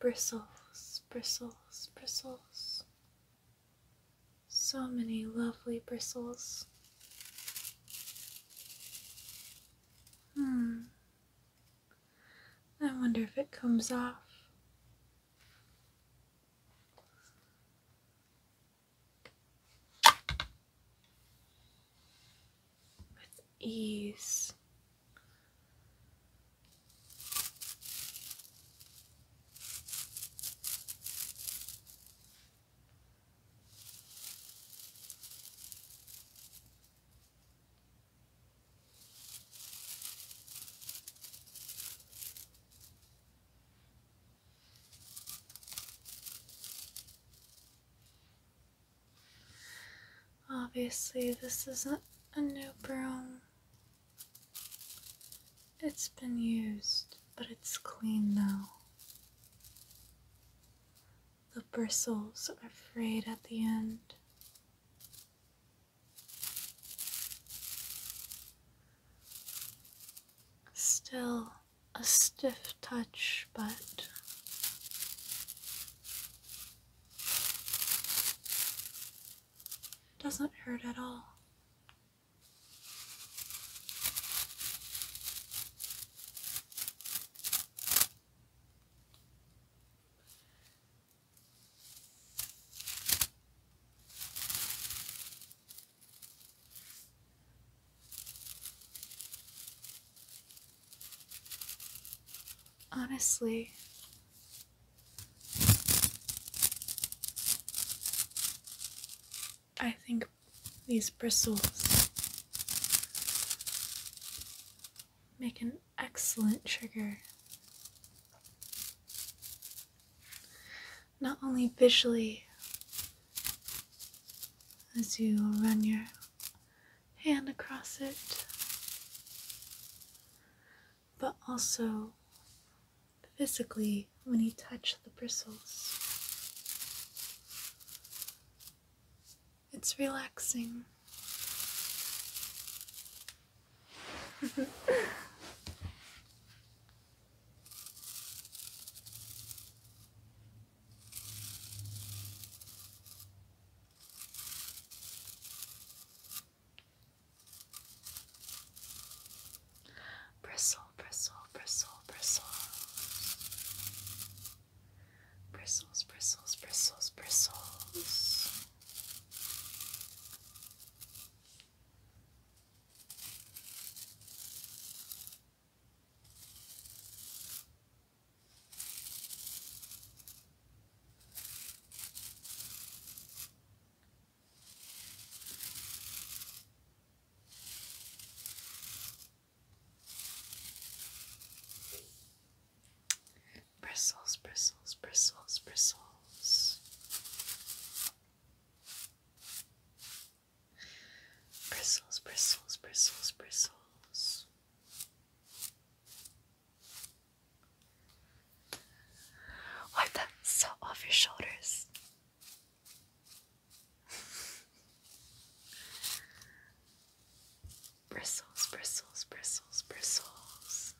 Bristles, bristles, bristles. So many lovely bristles. Hmm. I wonder if it comes off with ease. Obviously, this isn't a new broom. It's been used, but it's clean now. The bristles are frayed at the end. Still, a stiff touch, but doesn't hurt at all. Honestly, I think these bristles make an excellent trigger not only visually as you run your hand across it, but also physically when you touch the bristles. It's relaxing. Bristle, bristle, bristle, bristle. Bristles, bristles, bristles, bristles. Bristles, bristles, bristles, bristles. Bristles, bristles, bristles, bristles. Wipe that salt off your shoulders. bristles, bristles, bristles, bristles.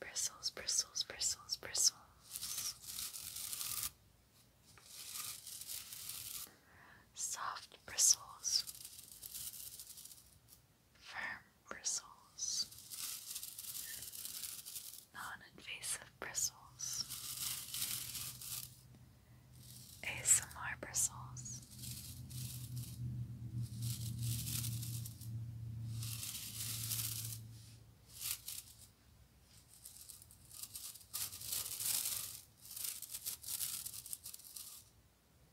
Bristles, bristles, bristles, bristles. Soft bristles firm bristles, non-invasive bristles, ASMR bristles.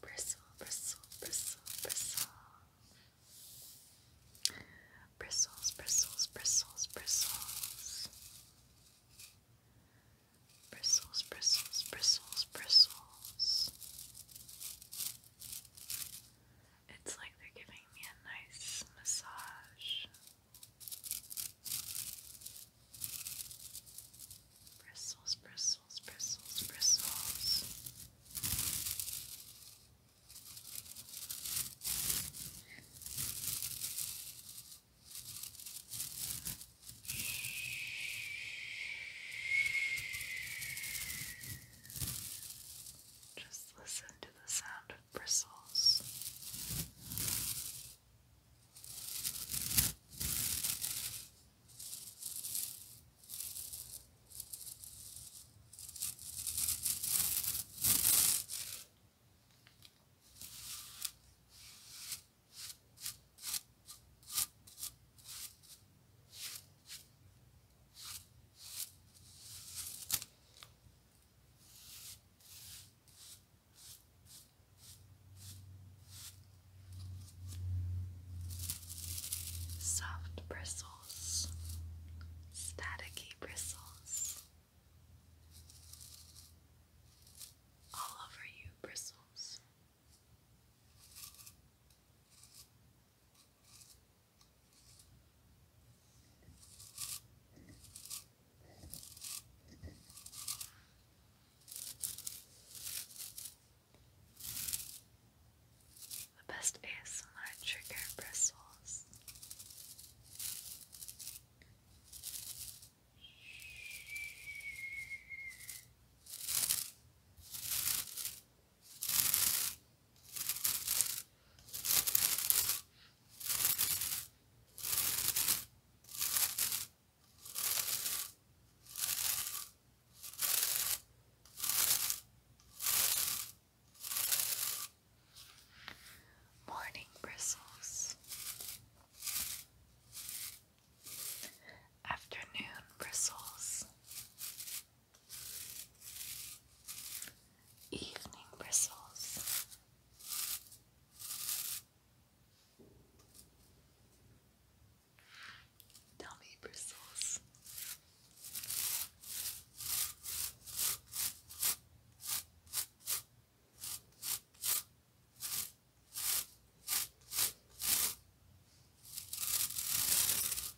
Bristle, bristle, bristle, bristle. Bristles, bristles, bristles, bristles. Bristles, bristles, bristles, bristles. It's like they're giving me a nice massage. Bristles, bristles, bristles, bristles. Just listen to the sound bristles. Soft bristles, staticy bristles, all over you, bristles. The best ASMR trigger bristles. Morning bristles, afternoon bristles, Evening bristles. Dummy bristles.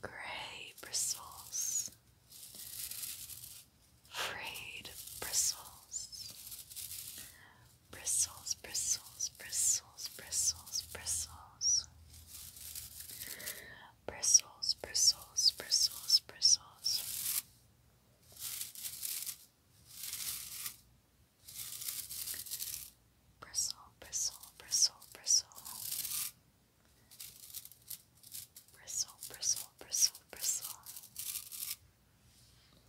Gray bristles, frayed bristles, bristles, bristles, bristles, bristles, bristles bristles. Bristles, bristles, bristles, bristles. Bristle, bristle, bristle, bristle. Bristle, bristle, bristle, bristle.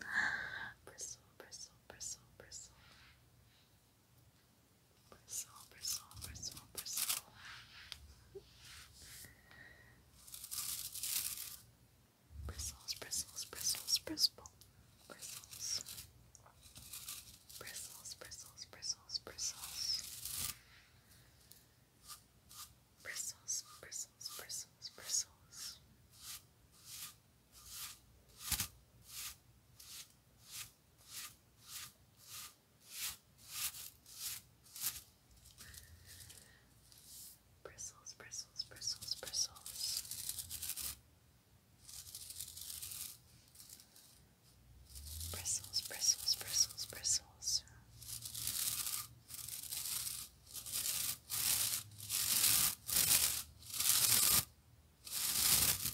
Bristle, bristle, bristle, bristle. Bristle, bristle, bristle, bristle. bristles, bristles, bristles, bristle. Bristles. Bristles, bristles, bristles, bristles. Bristles, bristles, bristles, bristles. Bristles, bristles, bristles, bristles. Bristles, bristles, bristles, bristles. Bristles, Bristles,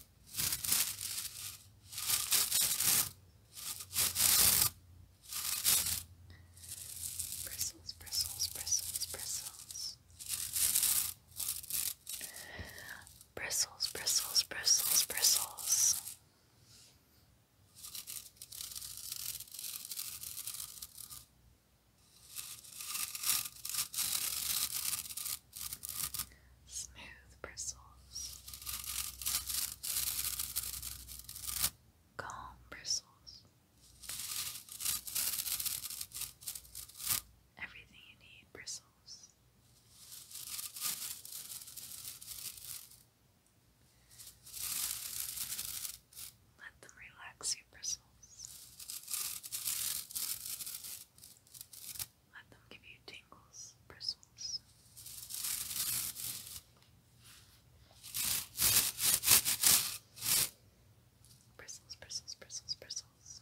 bristles, bristles, bristles. Bristles, bristles, bristles, bristles smooth bristles, calm bristles, everything you need bristles. Let them relax your bristles. Let them give you tingles, bristles. Bristles, bristles, bristles, bristles.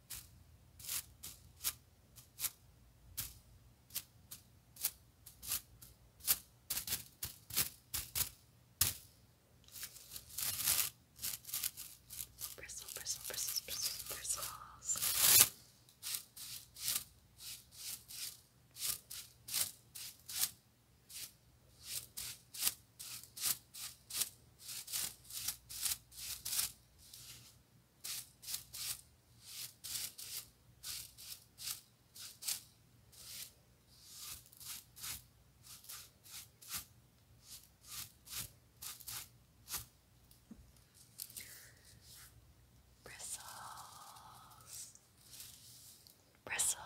Bristle, bristle, bristles, bristles, bristles. Bristles, bristles,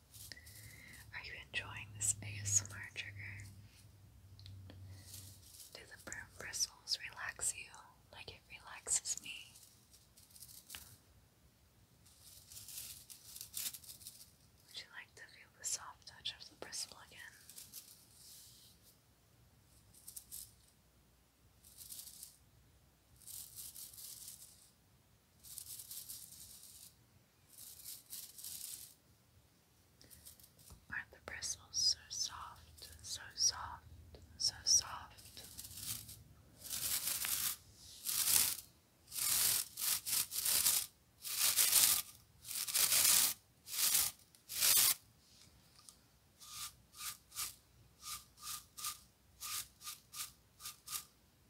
Are you enjoying this ASMR trigger? Do the bristles relax you like it relaxes me? Would you like to feel the soft touch of the bristle again? Aren't the bristles so soft, so soft, so soft?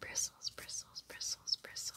Bristles, bristles, bristles, bristles.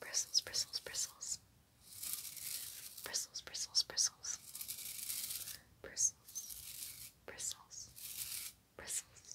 Bristles, bristles, bristles. Bristles, bristles, bristles. Bristles, bristles, bristles.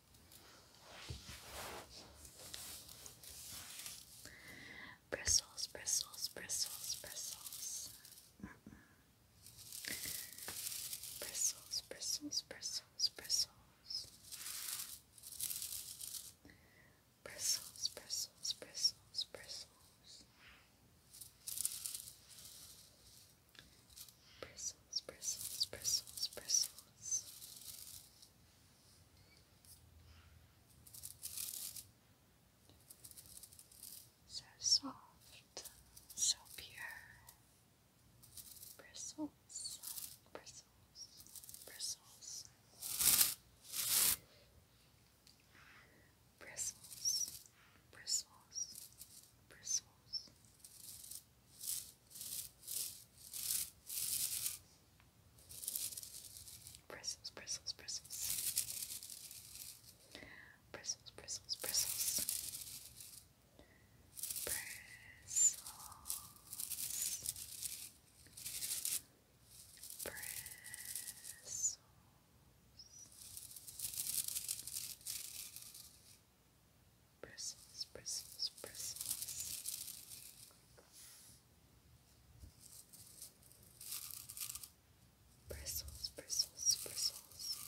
Bristles, bristles, bristles, bristles. Mm -mm. Bristles, bristles, bristles, bristles. Bristles, bristles, bristles, bristles. Bristles, bristles, bristles, bristles. So soft, so pure. Bristles, bristles, bristles. Bristles, bristles, bristles. Bristles, bristles, bristles. Bristles, bristles, bristles. Bristles. Bristles bristles, bristles, bristles. Bristles, bristles, bristles. Bristles,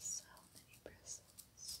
so many bristles.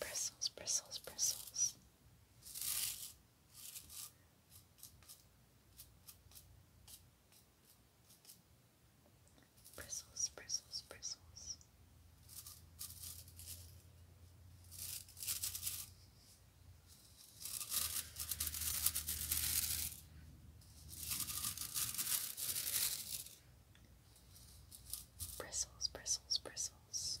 Bristles, bristles, bristles. Bristles, bristles, bristles. Bristles, bristles, bristles.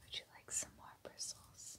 Would you like some more bristles?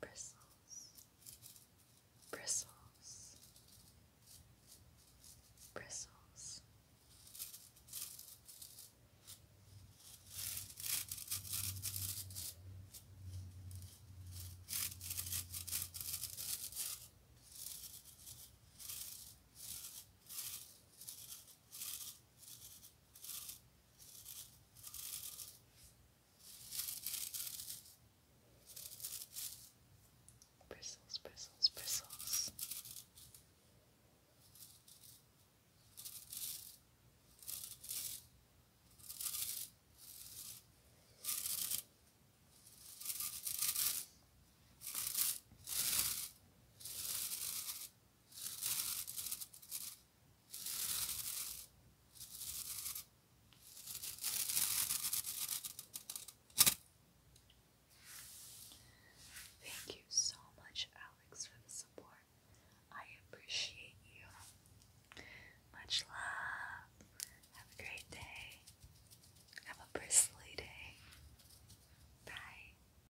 bristles, bristles, bristles. Bristles, Bristles, bristles, bristles. Thank you so much, Alex, for the support. I appreciate you. Much love. Have a great day. Have a bristly day. Bye.